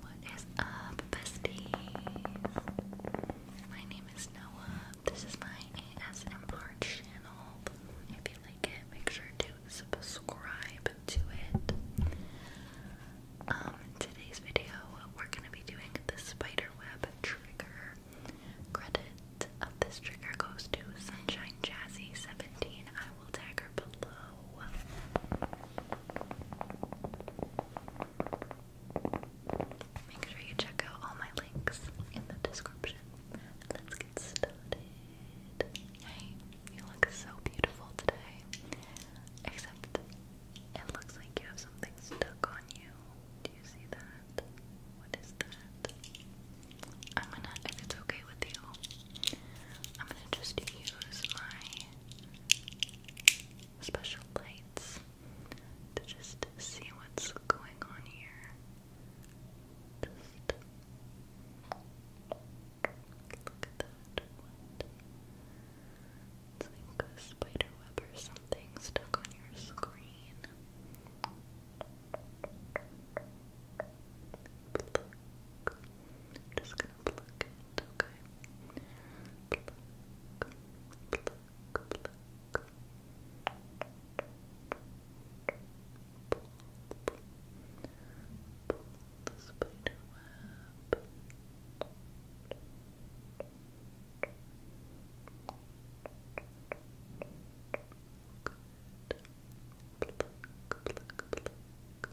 What is up, besties? My name is Noah. This is my ASMR channel. If you like it, make sure to subscribe to it. Um, today's video, we're gonna be doing the spiderweb trigger. Credit of this trigger goes to Sunshine Jazzy 17. I will tag her below. Make sure you check out all my links in the description. Let's get started. you look so beautiful today. Except it looks like you have something stuck on you. Do you see that? What is that? I'm gonna, if it's okay with you, I'm gonna just use my special lights to just see what's going on here. look at that. It's like a spider web or something stuck on your screen. Just gonna pluck it, okay? Pluck, pluck, pluck. Pull, pull, pull the spider web. Good. Pluck, pluck, pluck.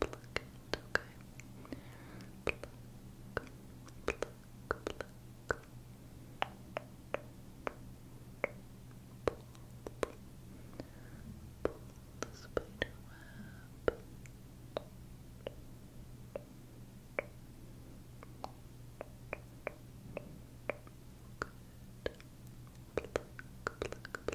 pluck it, okay? Pluck, pluck, pluck. Pull, pull, pull the spider web. Good. Pluck, pluck, pluck. Pluck, pluck, pluck.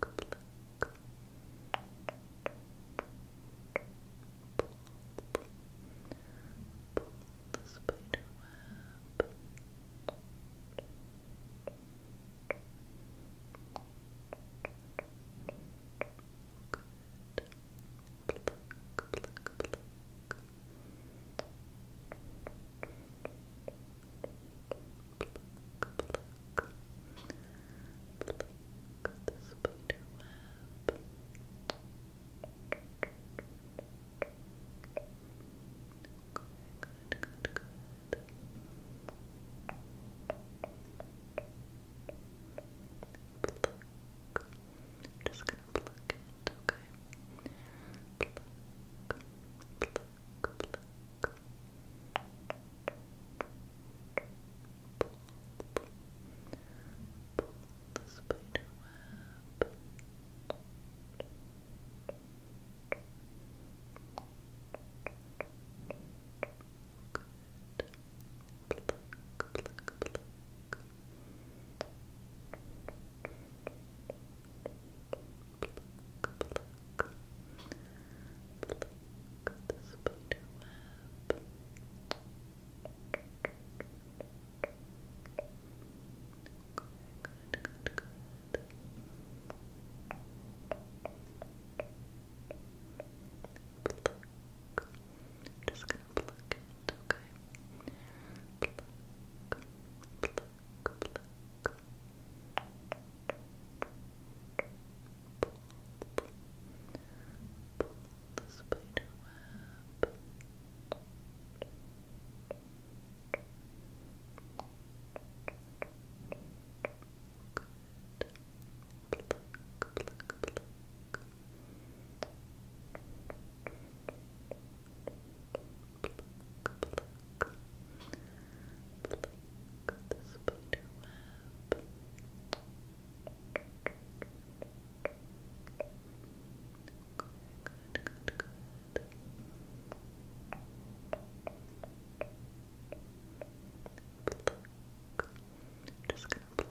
pluck, pluck. Pull, pull, pull the spider web. Good. Pluck, pluck, pluck. Pluck, pluck, pluck pluck, pluck the spider web. Good, good, good, good. Pluck. I'm just gonna pluck it, okay? Pluck, pluck, pluck. Pull the spider web. Good. Pluck, pluck, pluck. Pluck, pluck, pluck. Pluck, pluck the spider web. Good, good, good. Pluck. I'm just gonna pluck it, okay? Pluck, pluck, pluck, pluck, pluck. Pull, pull, pull the spider web. Good. Pluck, pluck, pluck. Pluck, pluck, pluck, pluck the spider web. Good, good, good. Pluck. I'm just gonna pluck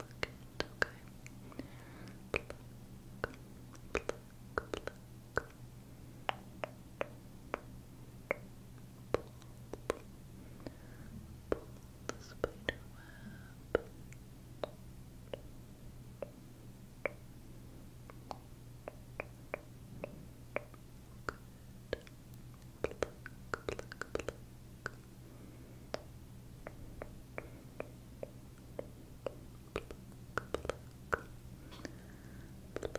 it, okay? Pluck, pluck, pluck. Pull the spider web. Good. Pluck, pluck, pluck. Pluck, pluck. Pluck,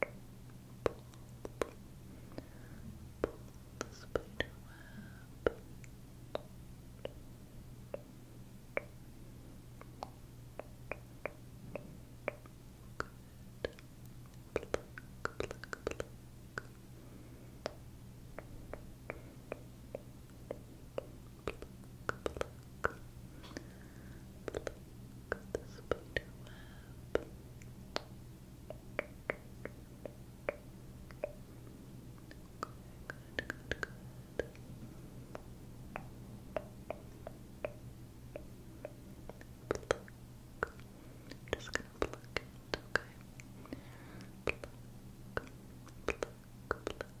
pull, pull the spider web. Good. Pluck, pluck, pluck. Pluck, pluck. Pluck, Got the spider web. Good, good, good, good. Pluck. I'm just gonna pluck it, okay? Pluck, pluck, pluck. Pull, pull, pull, pull,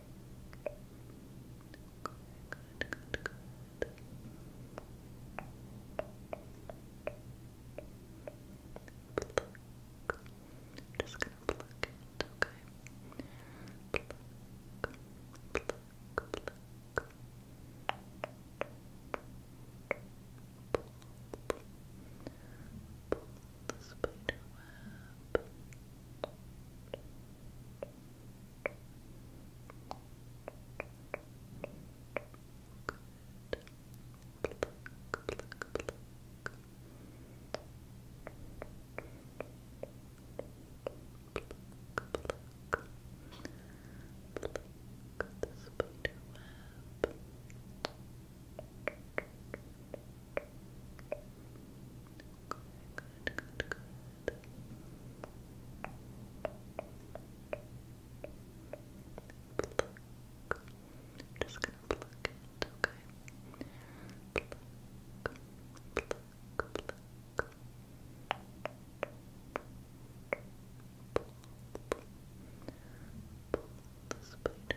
Good, good, good. Pluck. I'm just gonna pluck it, okay? Pluck, pluck, pluck. Pull, pull, pull the spider web. Pluck, Pluck, pluck, pluck. Pluck, pluck. Pluck the spider web. Pluck, Good, good, good, good. Pluck. I'm just gonna pluck it, okay? Pluck, pluck, pluck. Pull, pull, pull the spider web. Pluck, pluck, pluck, pluck,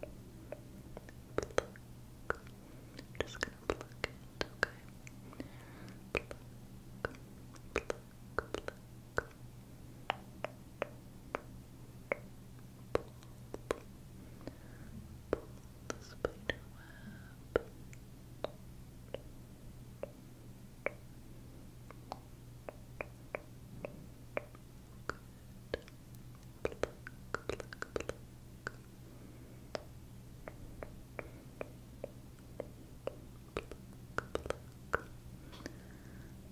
Pluck. I'm just gonna pluck it, okay? Pluck, pluck, pluck. Pluck. Pull, pull, pull the spider web. Good pluck, pluck, pluck. Pluck, pluck. Pluck the spider web.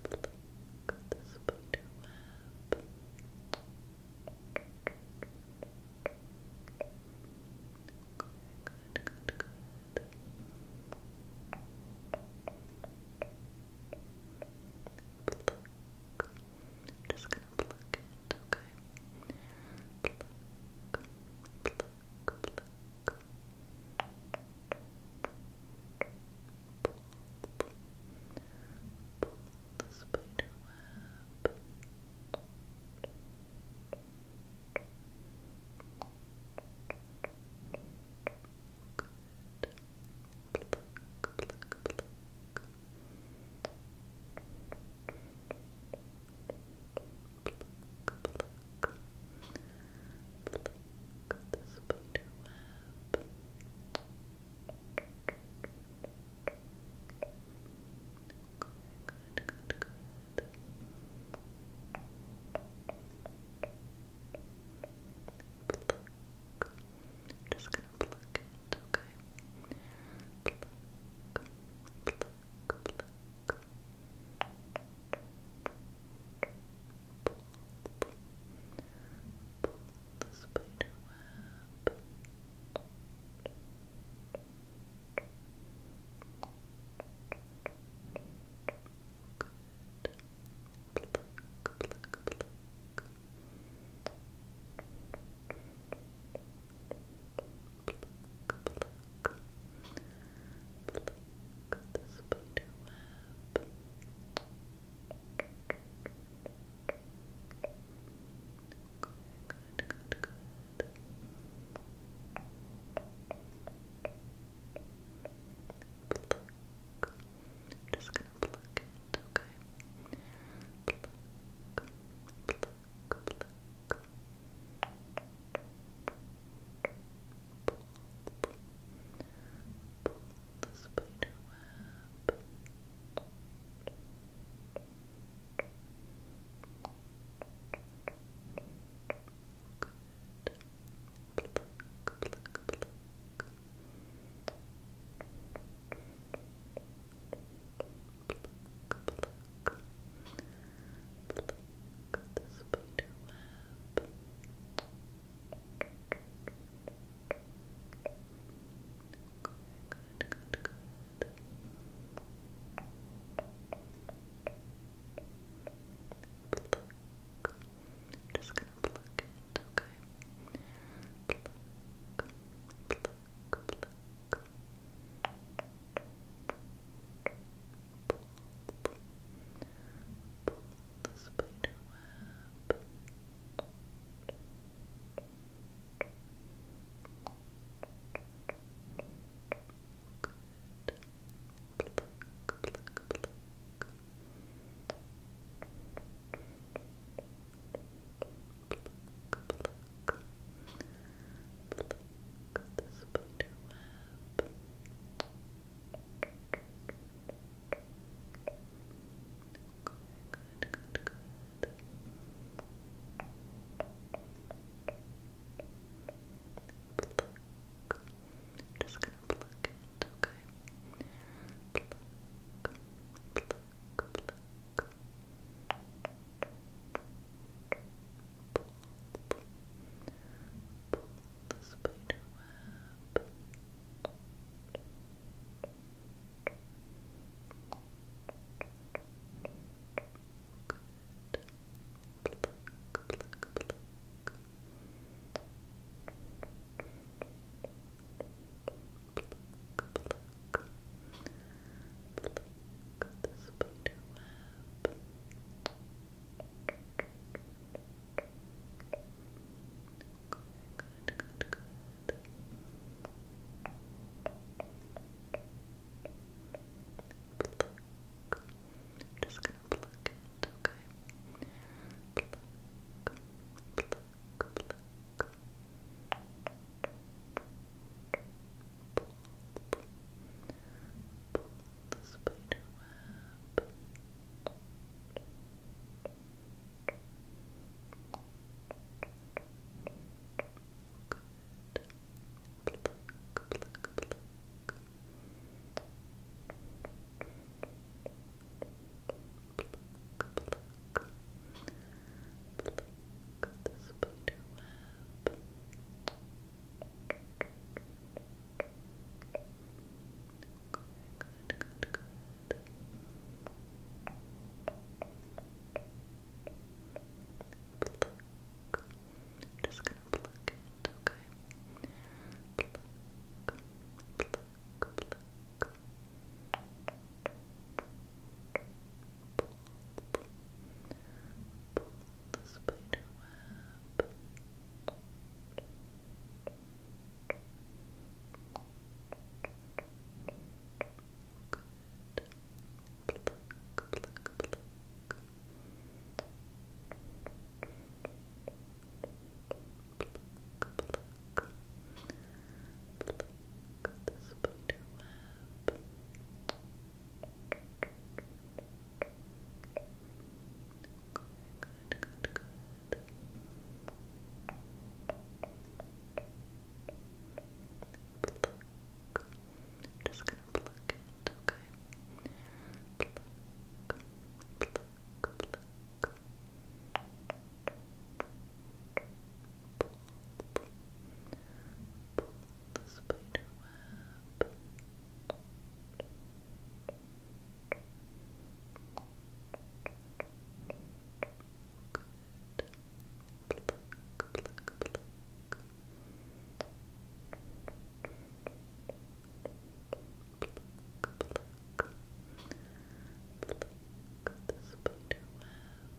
Good, good, good, good. Pluck, I'm just gonna pluck it, okay? Pluck, pluck, pluck. Pull, pull, pull the spider web. Good pluck, pluck, pluck. Pluck, pluck. Pluck the spider web. Good, good, good, good. Pluck. Just pluck it, okay? Pluck, pluck, pluck. Pull, pull, pull the spider web. Good. Pluck, pluck, pluck. Pluck, pluck the spider web. Good, good, good, good. Pluck. I'm just gonna pluck okay? Pluck, pluck, pluck. Pull, pull, pull the spider web. Good. Pluck, pluck, pluck the spider web. Good, good, good, good. Pluck. I'm just gonna pluck it okay? Pluck, pluck, pluck. Pull, pull, pull the spider web. Good. Pluck, pluck, pluck the spider Just gonna pluck it, okay? pluck, pluck. Pull, pull, pull the spider web. Good. Pluck, pluck, pluck. Good pluck, pluck. Pluck the spider web. Good, good, good, good. Pluck. I'm just gonna pluck it, okay? Pluck, pluck, pluck, pluck, pluck. Pull, pull, pull the spider web. Good. Pluck, pluck, pluck. Good pluck, pluck. Pluck the spider web. Good, good, good, good. Pluck. I'm just gonna pluck it, okay? Pluck, pluck, pluck, pluck, pluck. Pull, pull, pull the spider web. Good. Pluck, pluck, pluck. Pluck, pluck, pluck. Pluck the spider web. Good, good, good, good. Pluck. I'm just gonna pluck it, okay? Pluck, pluck, pluck. Pull the spider web. Good. Pluck, pluck, pluck. Pluck, pluck, pluck, pluck I'm just gonna pluck it, okay?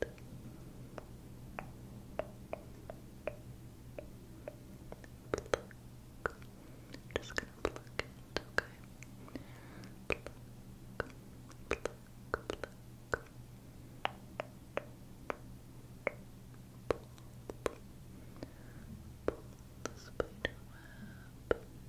Pluck. I'm just gonna pluck it, okay? Pluck, pluck, pluck. Pull, pull, pull the spider web. Pluck,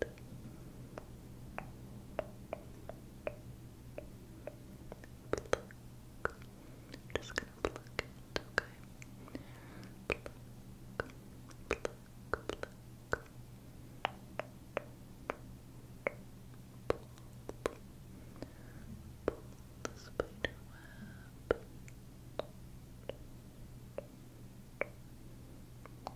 Pluck. I'm just gonna pluck it, okay? Pluck, pluck, pluck. Pull, pull, pull the spider web. Pluck,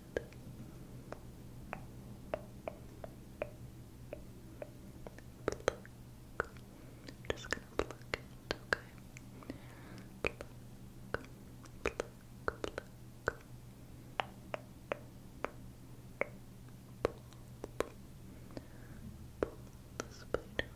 Pluck. I'm just gonna pluck it, okay? Pluck, pluck, pluck. Pluck. Pull, pull, pull the spider web. Pluck,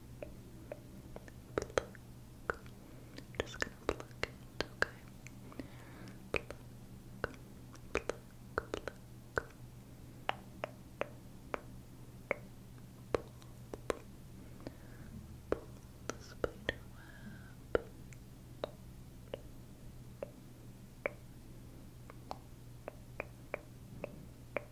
Pluck. I'm just gonna pluck it, okay? Pluck, pluck, pluck. Pull, pull, pull the spider web. Good.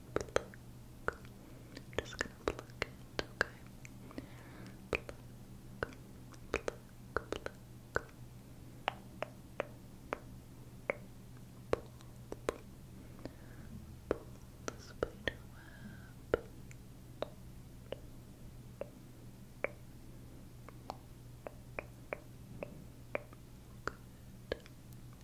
pluck. I'm just gonna pluck it, okay? Pluck, pluck, pluck. Pluck, pull, pull the spider web. Good.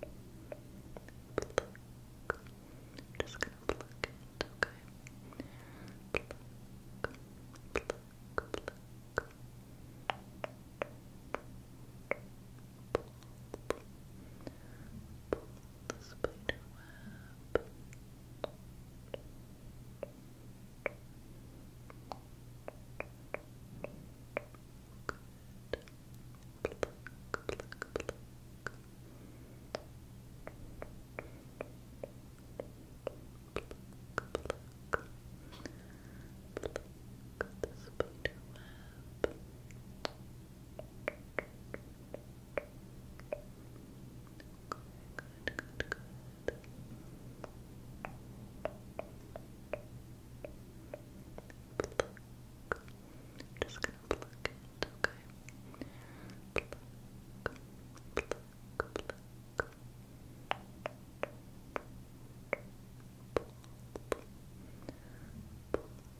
Pluck. I'm just gonna pluck okay? Pluck, pluck, pluck. Pull, pull, Pluck, pluck, pluck. Pluck, pluck. Pluck the spider web. Good, good, good, good. Pluck. Just pluck it, okay? Pluck, pluck, pluck. Pull, pull, pull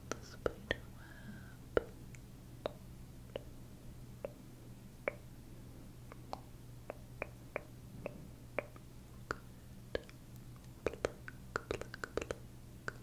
the spider web. Good. Pluck, pluck, pluck.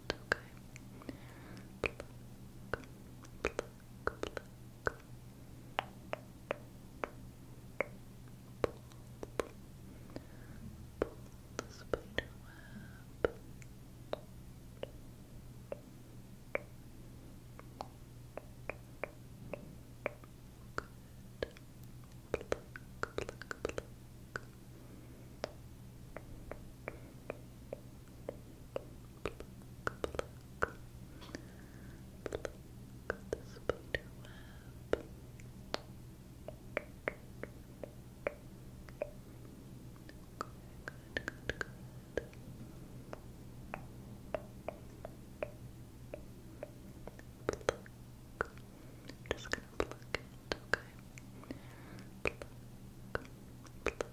okay? Pluck, pluck, pluck. Pull, pull, pull the spider web. Good. Pluck, pluck, pluck. Pluck, pluck, pluck pluck, pluck the spider web. Good, good, good, good. Pluck. I'm just gonna pluck it, okay? Pluck, pluck, pluck,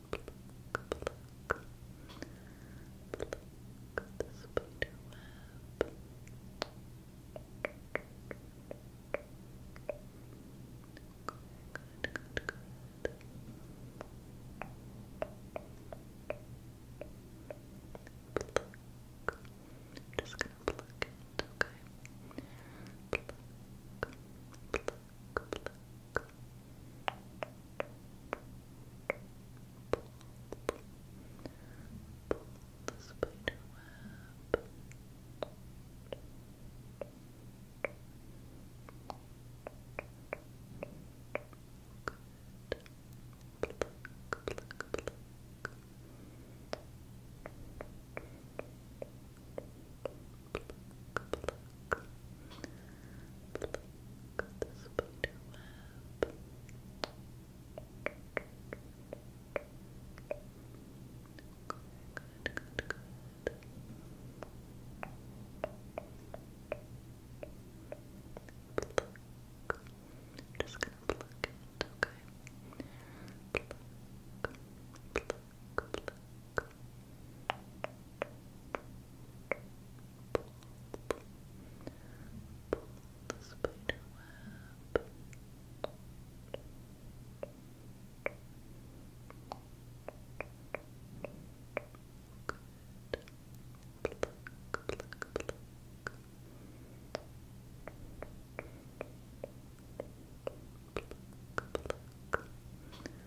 pluck, pluck. Pluck the spider web. Good, good, good, good. Pluck. I'm just gonna pluck it, okay? Pluck, pluck, pluck, pluck, pluck. Pull, pull, pull the spider web. Good. Pluck, pluck, pluck. Good pluck, pluck. Pluck the spider web. Good, good, good, good. Pluck. I'm just gonna pluck it, okay? Pluck, pluck, pluck, pluck, pluck. Pull, pull, pull the spider web. Good. Pluck, pluck, pluck. Pluck, pluck.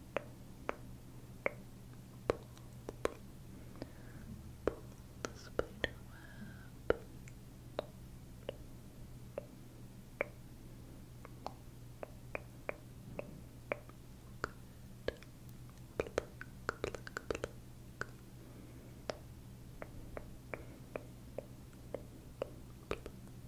Pull, pull, pull the spider web. Good. Pluck, pluck, pluck. Pluck, pluck.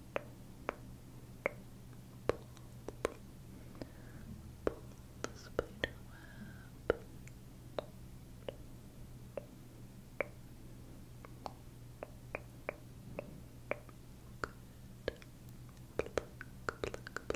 the spider web. Good. Pluck, pluck, pluck. Pluck, pluck. Pluck the spider web. Pluck,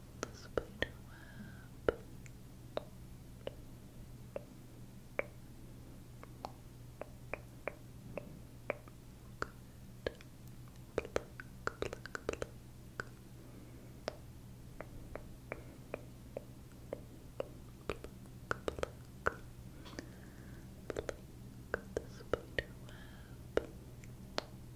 the spider web. Good. Pluck, pluck, pluck. Pluck, pluck. Pluck the spider web. Pluck,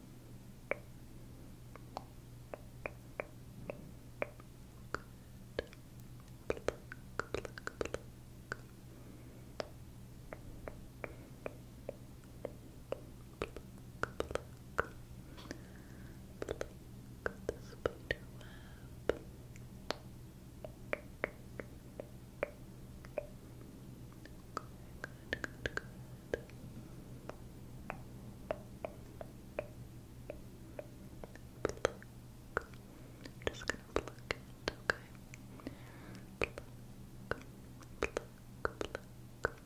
Pluck, pluck, pluck. Pluck, pluck. Pluck the spider web. Good, good, good. Pluck. I'm just gonna pluck it, okay? Pluck, pluck, pluck. Pluck, pull, pull the spider web. Pluck,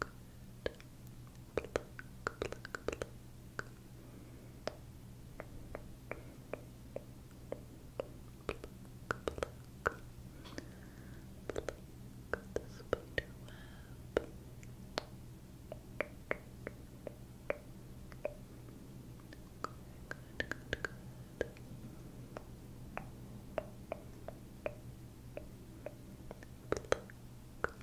Good. Pluck, pluck, pluck. Pluck, pluck. Pluck the spider web. Good, good, good, good. Pluck, pluck,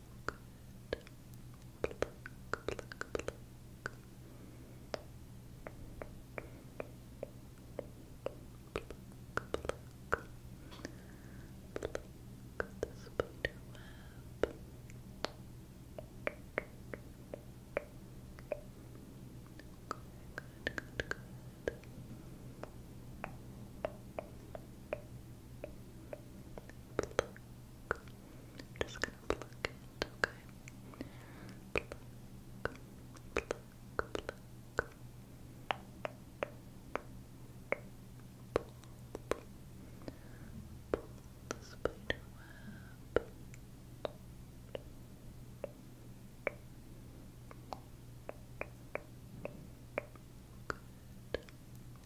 Good. Pluck, pluck, pluck. Pluck, pluck. Pluck the spider web. Good, good, good, good. Pluck, I'm just gonna pluck it, okay? Pluck, pluck, pluck. Pull, pull, pull the spider web. Good.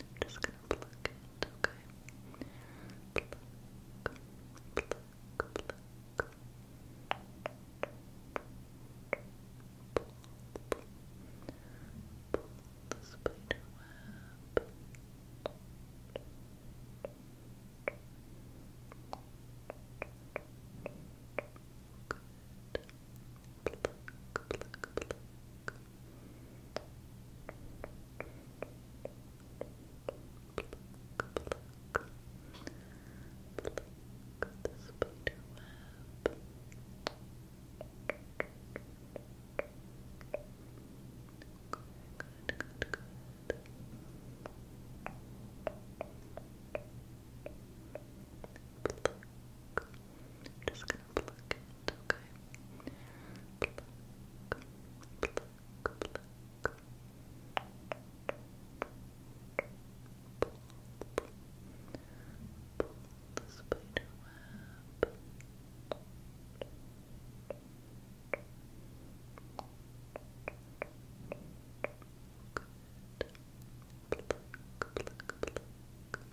I'm just gonna pluck it, okay? Pluck, pluck, pluck. Pull, pull, pull the spider web. Good. Pluck, pluck, pluck. Pluck, pluck the spider web. Good, good, good, good. Pluck. I'm just gonna pluck it okay? Pluck, pluck, pluck. Pull, pull, pull the spider web. Good. Pluck, pluck, pluck.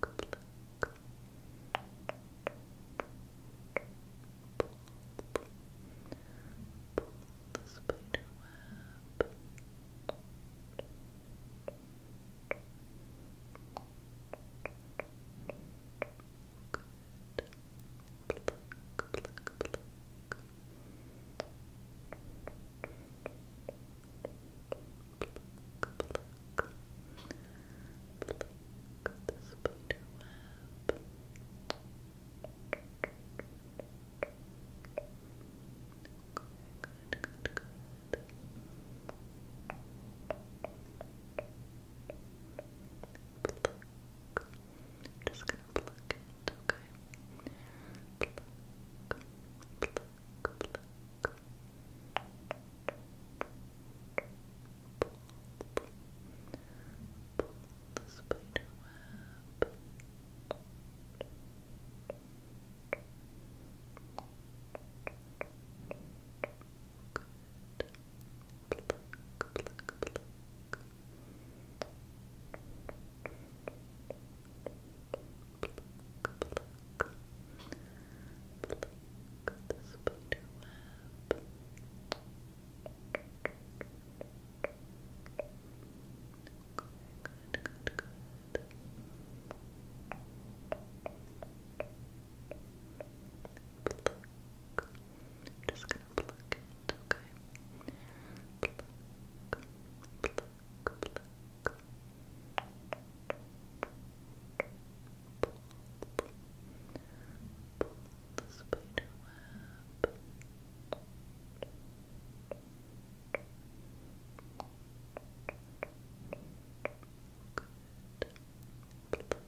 pluck, pluck. Pull, pull, pull the spider web. Good. Pluck, pluck, pluck. Pluck, pluck, pluck. Pluck, pluck, pluck the spider web. Good, good, good, good. Pluck. I'm just gonna pluck it, okay? Pluck, pluck, pluck, pluck, Pull the spider web. Good. Pluck, pluck, pluck. Pluck, pluck, pluck. Pluck. Pluck the spider web. Good, good, good, good. Pluck. I'm just gonna pluck it, okay? Pluck, pluck, pluck. Pull the spider web. Good. Pluck, pluck, pluck. Pluck, pluck, pluck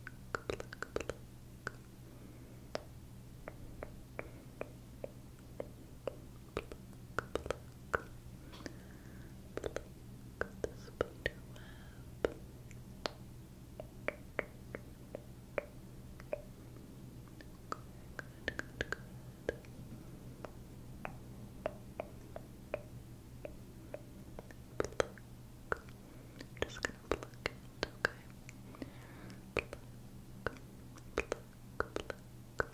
pluck, pluck. Pluck the spider web. Good, good, good, good. Pluck. I'm just gonna pluck it, okay? Pluck, pluck, pluck.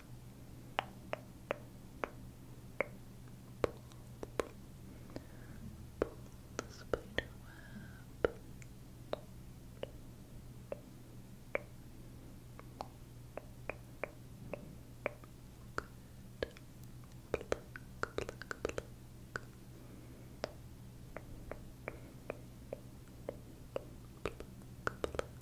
Pull the spider web. Good. Pluck, pluck, pluck. Pluck, pluck,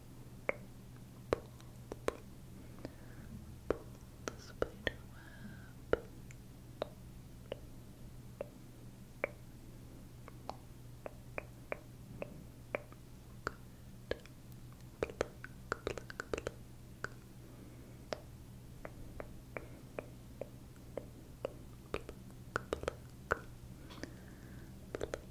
pull, pull the spider web. Good. Pluck, pluck, pluck. Pluck, pluck, pluck.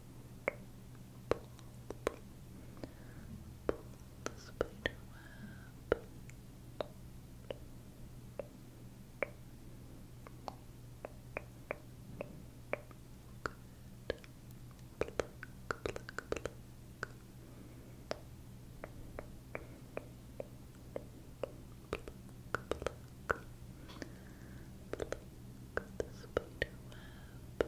pull, pull, pull the spider web. Good. Pluck, pluck, pluck. Pluck, pluck. Pluck the spider web. Pluck,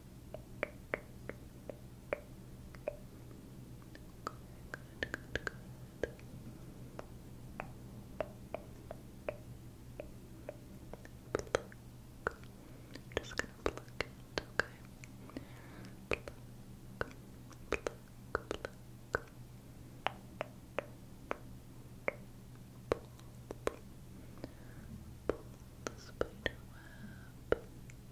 Good, good, good. Pluck. Just gonna pluck it, okay? Pluck, pluck, pluck. Pull, pull, pull the spider web. Pluck,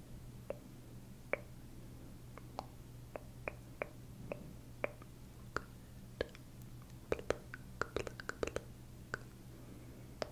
Pluck, pluck, pluck. Pluck, pluck. Pluck the spider web. Pluck,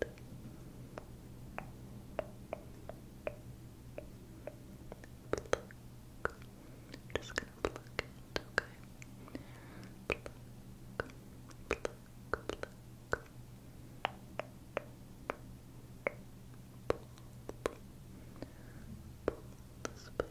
Pluck. I'm just gonna pluck it, okay? Pluck, pluck, pluck. Pull, pull, pull the spider web.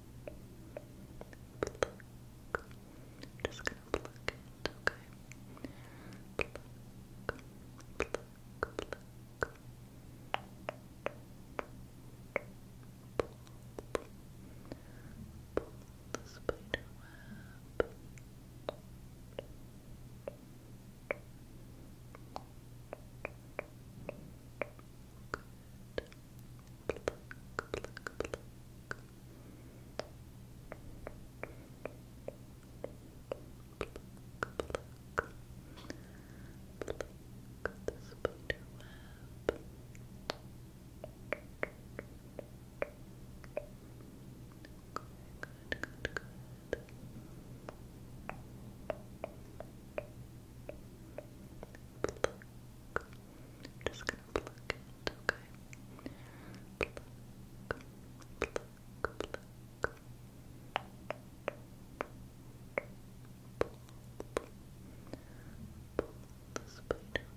Pluck. I'm just gonna pluck it, okay? Pluck, pluck, pluck. Pull, pull, pull the spider web. Good pluck, pluck, pluck. Pluck, pluck. Pluck the spider web. Good, good, good, good. Pluck, I'm just gonna pluck it, okay? Pluck, pluck, pluck. Pluck, pull, pull, pull the spider web. Good. Pluck, pluck, pluck.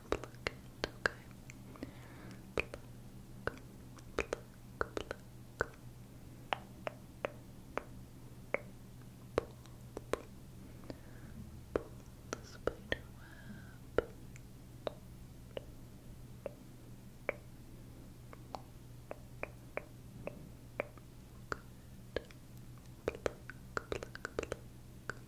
pluck it, okay? Pluck, pluck, pluck. Pull, pull, pull the spider web. Good. Pluck, pluck, pluck.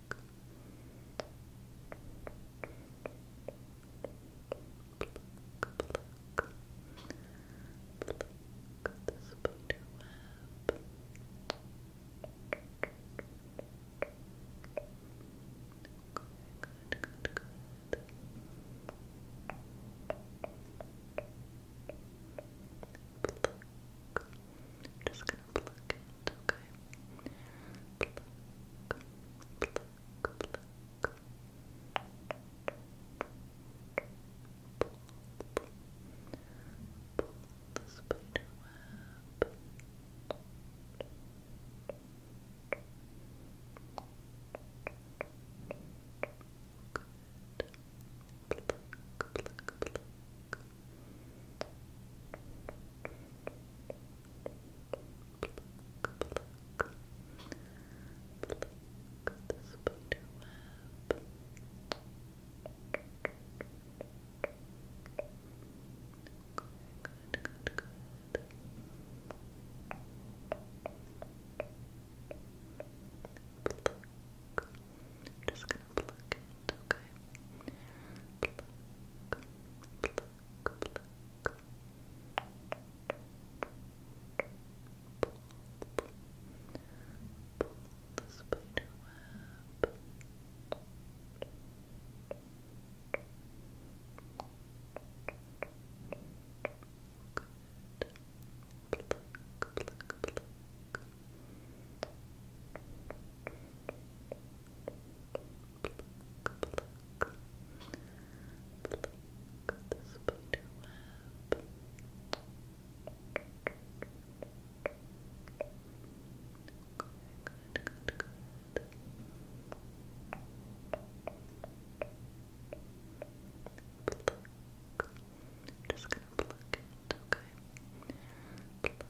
the spider web. Good, good, good, good. Pluck. I'm just gonna pluck it, okay? Pluck, pluck, pluck. Pull, pull, pull the spider web. Good. Pluck, pluck, pluck. Pluck, pluck, pluck pluck, pluck, pluck the spider web. Good, good, good, good. Pluck. I'm just gonna pluck it, okay? Pluck, pluck, pluck, pluck, pluck. Pull, pull, pull the spider web. Good. Pluck, pluck, pluck. Pluck, pluck, pluck pluck, pluck the spider web. Good, good, good, good. Pluck. I'm just gonna pluck it, okay? Pluck,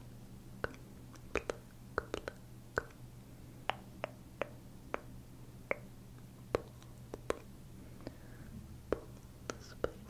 pluck, pluck, pluck, pluck. Pull, pull, pull the spider web. Good. Pluck, pluck, pluck. Good.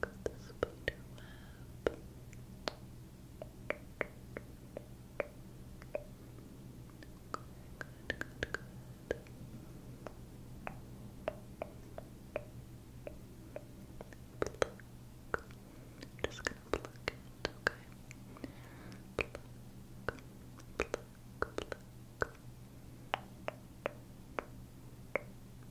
Got the spider web. Good, good, good, good. just gonna pluck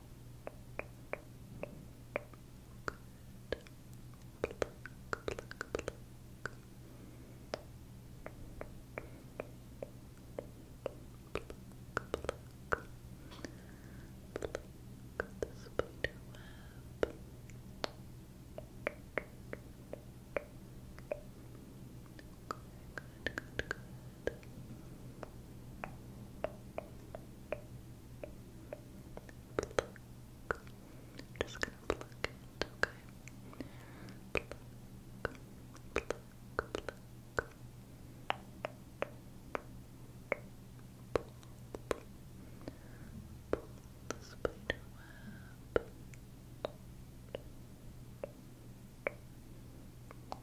Good. Pluck, pluck, pluck. Pluck, pluck. Pluck the spider web. Good, good, good, good. Pluck. I'm just gonna pluck it, okay? Pluck, pluck, pluck. Pull, pull, pull the spider web. Pluck,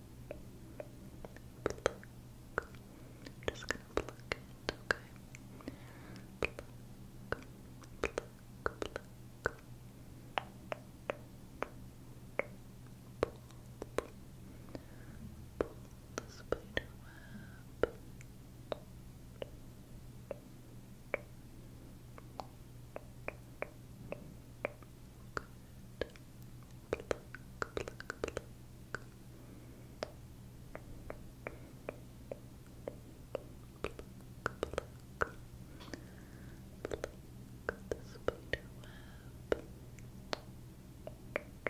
Pluck. I'm just gonna pluck it, okay? Pluck, pluck, pluck. Pull, pull, pull the spider web. Okay. Pluck, pluck, pluck. Pluck, pluck. Pluck the spider web. Good, good, good. Pluck,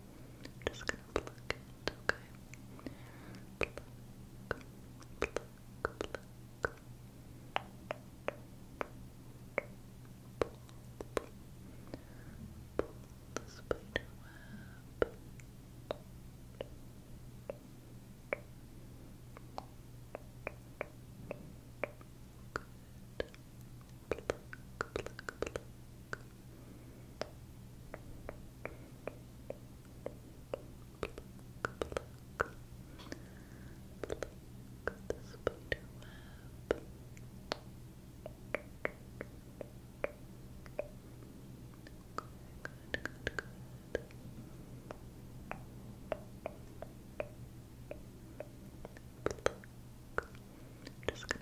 I'm just gonna pluck it, okay? Pluck, pluck, pluck. Pull, pull, pull the spider web. Good. Pluck, pluck, pluck. Pluck, pluck. Pluck the spider web. Good, good, good, good. Pluck. I'm just gonna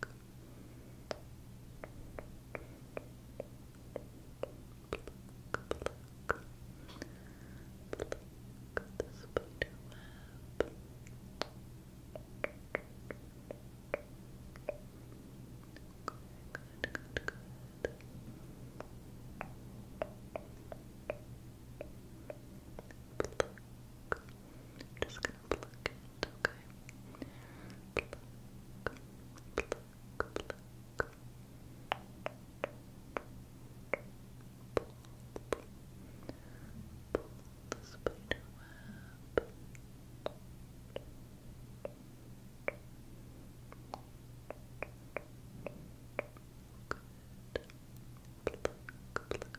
pluck, pluck the spider web. Good, good, good, good. Pluck, pluck, just gonna pluck it, okay? Pluck, pluck, pluck. Pull, pull, pull the spider web. Good. Pluck, pluck, pluck.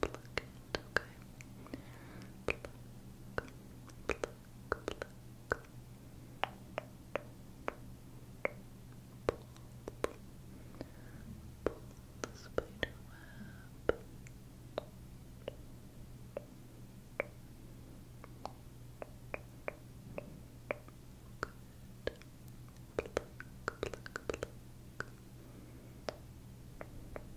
pluck it, okay? Pluck, pluck, pluck. Pull, pull, pull the spider web. Good. Pluck, pluck, pluck. Pluck,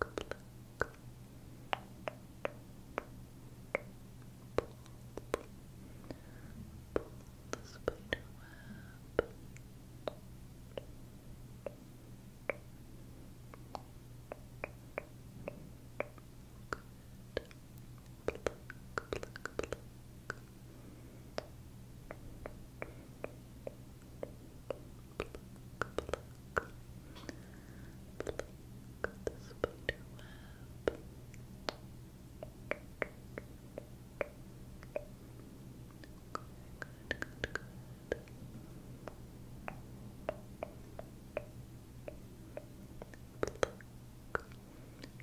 pluck, pluck. Pull, pull, pull the spider web. Good. Pluck, pluck, pluck. Good pluck, pluck, pluck the spider web. Good, good, good, good. Pluck. I'm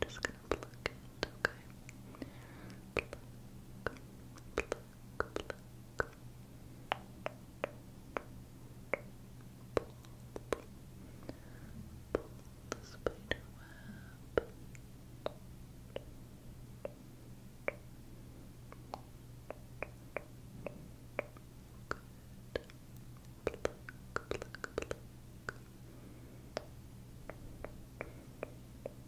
just gonna pluck it, okay? Pluck, pluck, pluck, pluck, pluck. Pull, pull, pull the spider web. Good. Pluck, pluck, pluck. Pluck, pluck, pluck.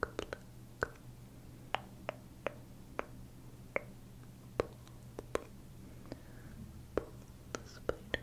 pluck, pluck. Pull, pull, pull the spider web. Good. Pluck, pluck, pluck. Good.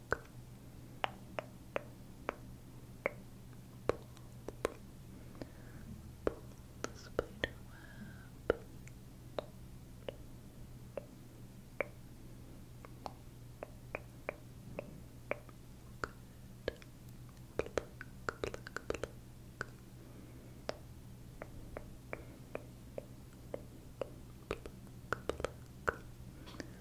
Pull the spider web. Good. Pluck, pluck, pluck. Pluck, pluck.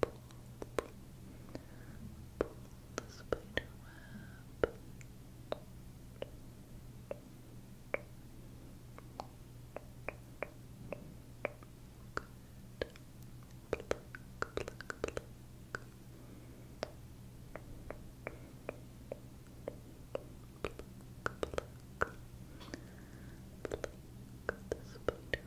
pull, pull, pull the spider web. Good. Pluck, pluck, pluck. Pluck, pluck. Pluck the spider web.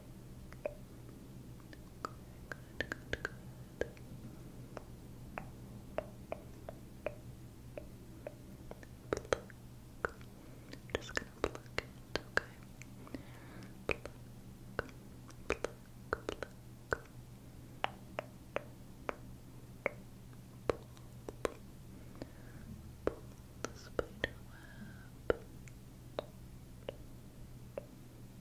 Good, good, good. Pluck. I'm just gonna pluck it, okay? Pluck, pluck, pluck. Pull, pull, pull the spider web. Pluck, pluck, pluck, pluck,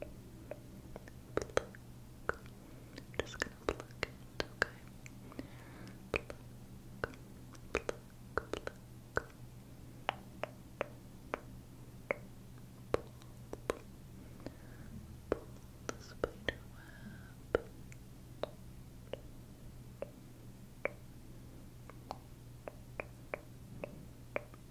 pluck. I'm just gonna pluck it, okay? Pluck, pluck, pluck. Pull, pull, pull the spider web.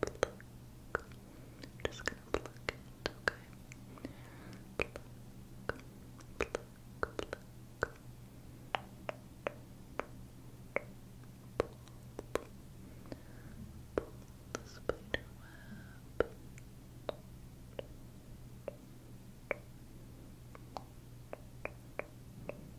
pluck. I'm just gonna pluck it, okay? Pluck, pluck, pluck. Pull, pull, pull the spider web. Good.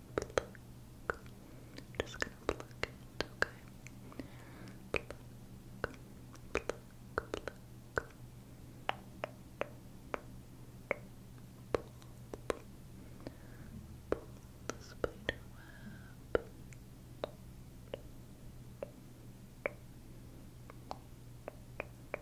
pluck. I'm just gonna pluck it, okay? Pluck, pluck, pluck. Pull, pull, pull the spider web. Good.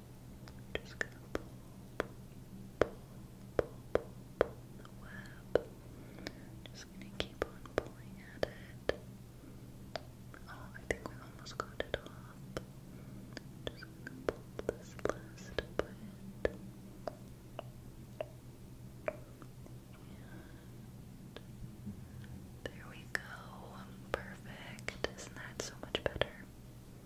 just gonna pull, pull, pull, pull, pull, pull the web. Just gonna keep on pulling at it. Oh, I think we almost got it off. Just gonna pull this last bit. there we go. Perfect. Isn't that so much better?